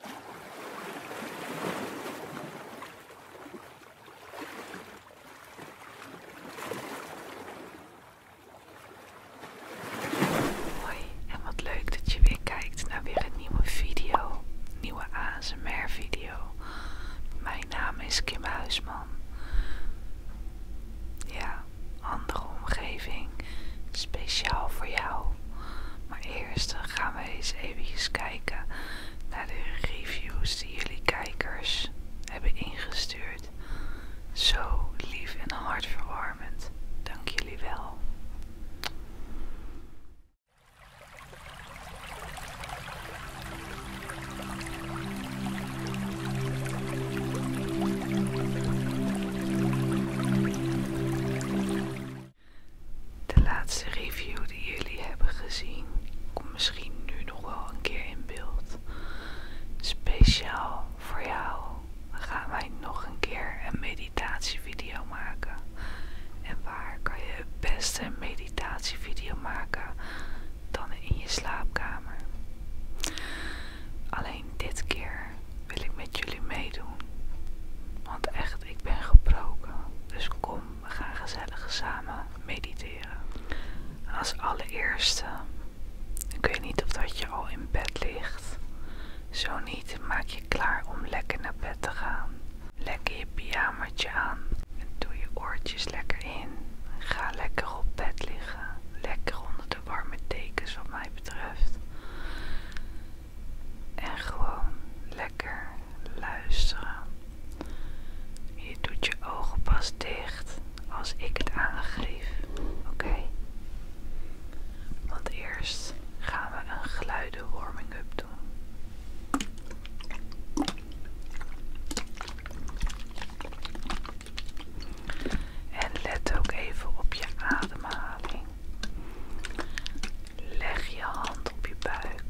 Hoi en wat leuk dat je weer kijkt naar weer een nieuwe video, nieuwe ASMR video. Mijn naam is Kim Huisman. Ja, andere omgeving, speciaal voor jou. Maar eerst gaan we eens even kijken naar de reviews die jullie kijkers hebben ingestuurd. Zo lief en hartverwarmend. Dank jullie wel. De laatste review die jullie hebben gezien komt misschien nu nog wel een keer in beeld. Speciaal voor jou gaan wij nog een keer een meditatievideo maken. En waar kan je het beste meditatievideo maken dan in je slaapkamer? Alleen dit keer wil ik met jullie meedoen. Want echt, ik ben gebroken. Dus kom, we gaan gezellig samen mediteren. Als allereerste, ik weet niet of dat je al in bed ligt. Zo niet, maak je klaar om lekker naar bed te gaan. Lekker je pyjamaatje aan doe je oortjes lekker in. Ga lekker op bed liggen. Lekker onder de warme dekens wat mij betreft. En gewoon lekker luisteren. Je doet je ogen pas dicht als ik het aangeef. Oké? Want eerst gaan we een geluiden warming up doen. En let ook even op je ademhaling. Leg je hand op je buik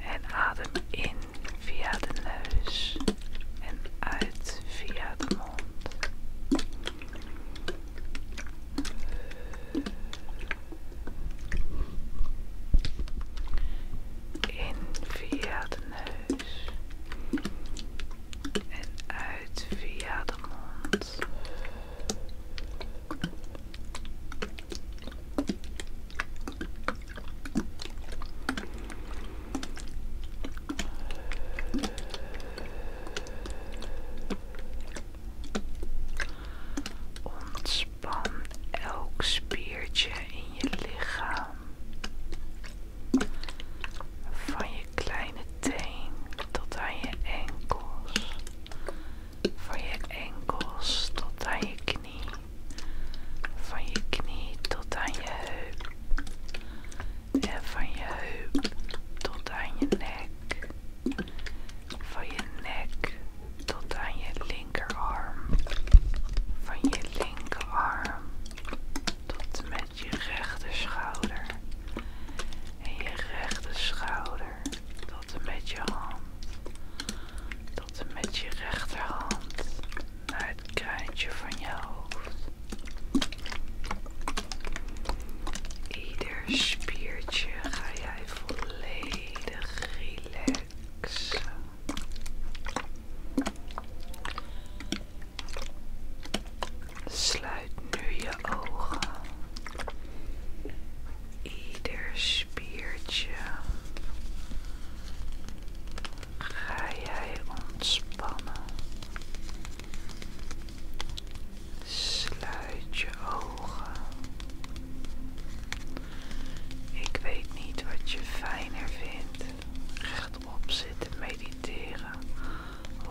en adem in via de neus en uit via de mond. In via de neus en uit via de mond. Ontspan elk spiertje in je lichaam. Van je kleine teen tot aan je enkels. Van je enkels tot aan je knie. Van je knie tot aan je heup. En van je heup tot aan je nek. Van je nek tot aan je linkerarm. Van je linkerarm tot met je rechter schouder en je rechter schouder tot en met je hand, tot en met je rechterhand naar het kruintje van je hoofd. Ieder spiertje ga jij volledig relaxen. Sluit nu je ogen. Ieder spiertje ga jij ontspannen. Sluit je ogen. Ik weet niet wat je fijner vindt. Rechtop zitten mediteren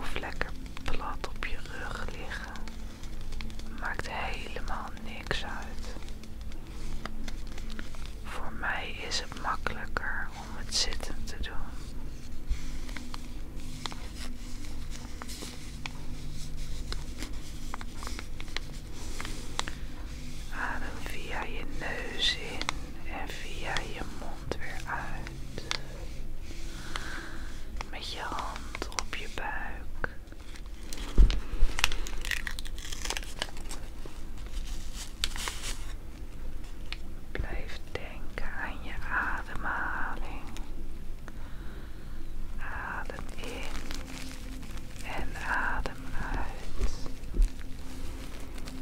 of lekker plat op je rug liggen. Maakt helemaal niks uit. Voor mij is het makkelijker om het zitten te doen. Adem via je neus in en via je mond weer uit. Met je hand op je buik. Blijf denken aan je ademhaling. Adem in en adem uit.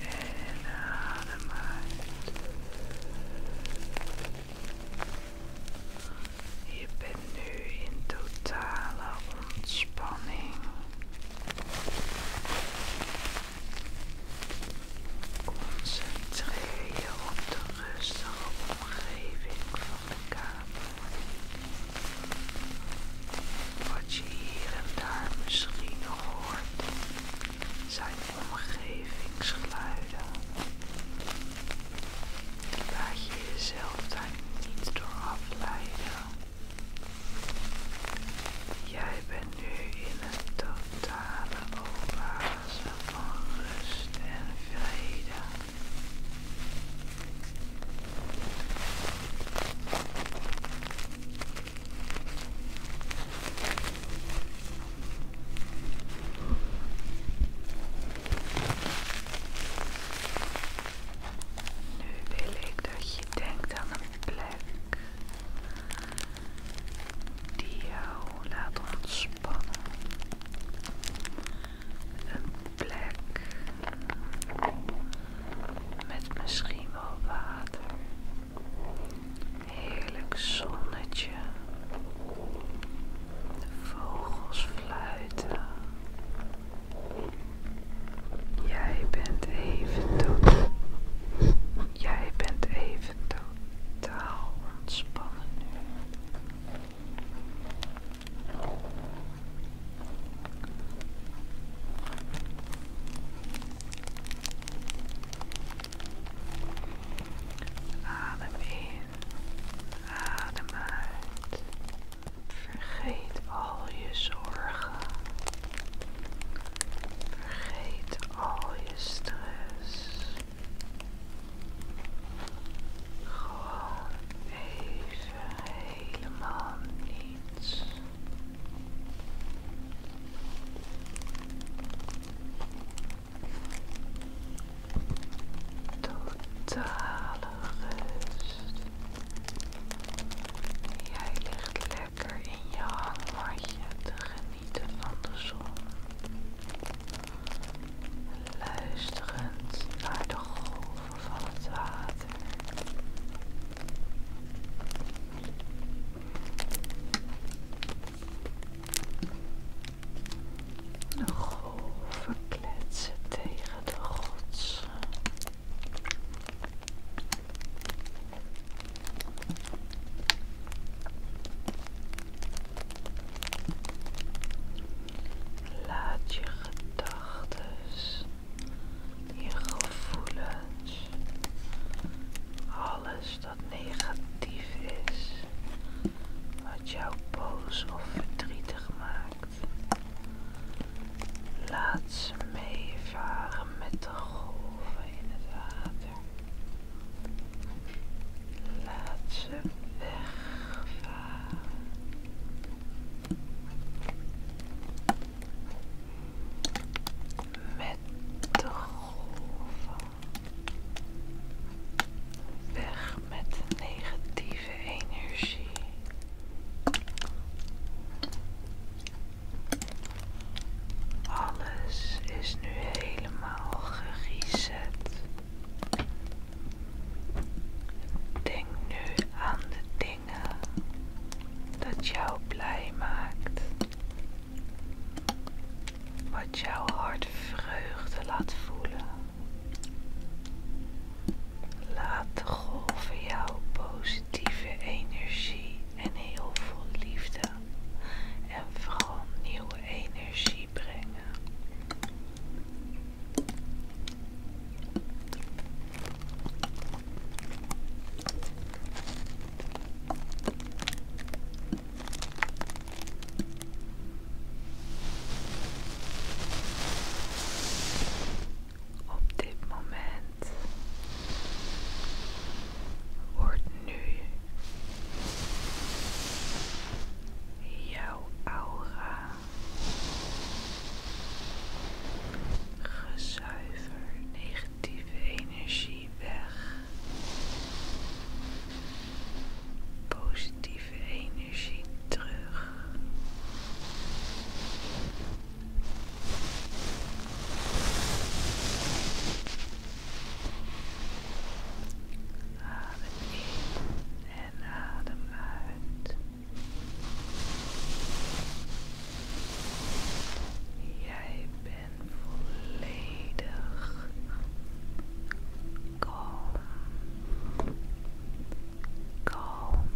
En adem uit. Je bent nu in totale ontspanning. Concentreer je op de rustige omgeving van de kamer. Wat je hier en daar misschien hoort, zijn omgevingsgeluiden. Laat je jezelf daar niet door afleiden. Jij bent nu in een totale oase van rust en vrede. Nu wil ik dat je denkt aan een plek die jou laat ontspannen. Een plek met misschien wel water. Heerlijk zonnetje. De vogels fluiten. Jij bent even dood. Jij bent even totaal ontspannen nu. Adem in, adem uit. Vergeet al je zorgen. Vergeet al je stress. Gewoon even helemaal niets. Totale rust. Jij ligt lekker in je hangmatje te genieten van de zon. Luisterend naar de golven van het water. De golven kletsen tegen de rotsen. Laat je gedachten, je gevoelens, alles dat negatief is, wat jou boos of verdrietig maakt. Laat ze meevaren met de golven in het water. Laat ze wegvaren met de golven. Weg met negatieve energie. Alles is nu helemaal gereset. Denk nu aan de dingen dat jou blij maakt wat jouw hart vreugde laat voelen. Laat de golven jouw positieve energie en heel veel liefde en vooral nieuwe energie brengen. Op dit moment wordt nu jouw aura gezuiverd negatief negatieve energie weg. Positieve energie terug. Adem in en adem uit. Jij bent volledig kalm, kalm,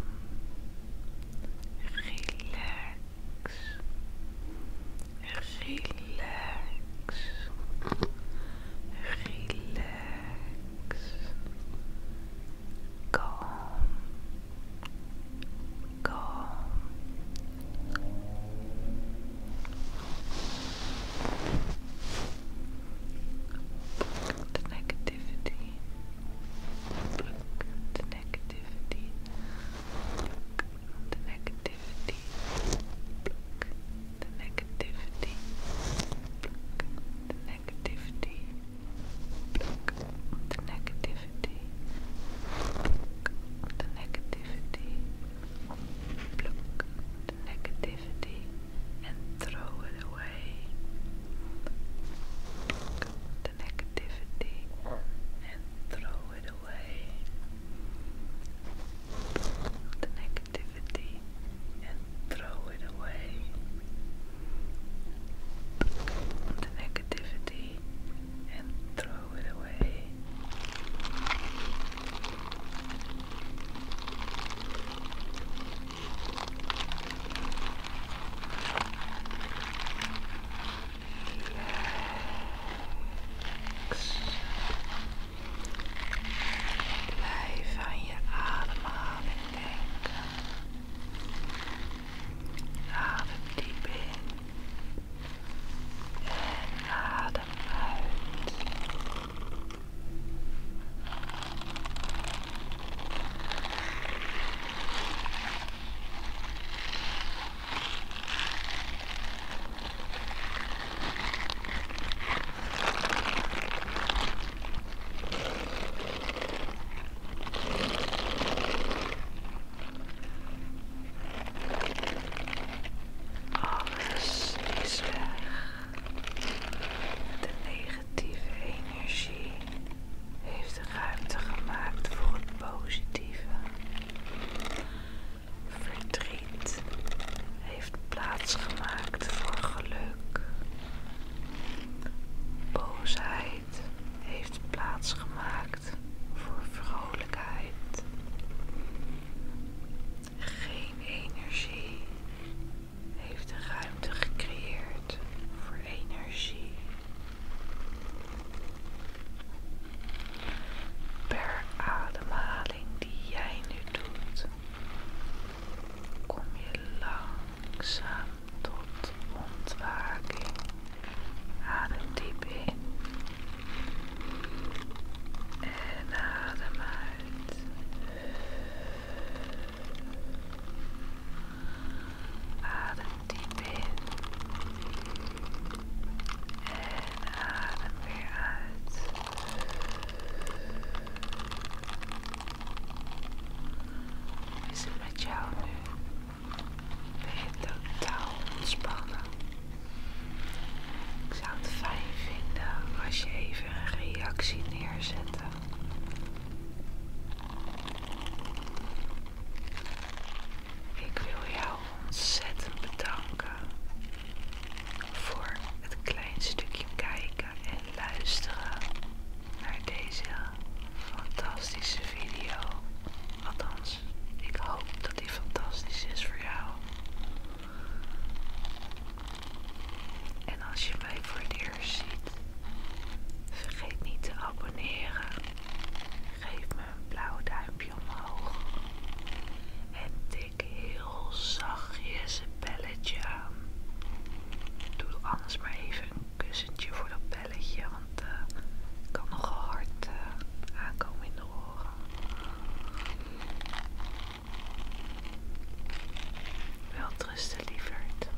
relax, relax, relax, kalm. go. the negativity. the negativity. the negativity. the negativity. the negativity. the negativity negativity, the negativity, pluck the negativity and throw it away. the negativity and throw it away. the negativity and throw it away. the negativity and throw it away. Relax. Blijf aan je ademhaling Adem deep in and adem out. Alles is weg. De negatieve energie heeft ruimte gemaakt voor het positieve. Verdriet heeft plaats gemaakt voor geluk. Boosheid heeft plaats gemaakt voor vrolijkheid. Geen energie heeft ruimte gecreëerd voor energie. Per ademhaling die jij nu doet, kom je lang langzaam tot ontwaking. Adem diep in. En adem uit. Adem diep in. En adem uit. Is met jou ben je totaal ontspannen? Ik zou het fijn vinden als je even een reactie neerzetten. Ik wil jou ontzettend bedanken voor het klein stukje kijken en luisteren naar deze fantastische video. Althans, ik hoop dat die fantastisch is voor jou. En als je mij voor het eerst ziet, vergeet niet te abonneren. Geef me een blauw duimpje omhoog. En tik heel zachtjes een belletje aan. Doe anders maar even kussentje voor dat belletje, want eh, kan nogal hard eh, aankomen in de oren. Wel trusten, liefert.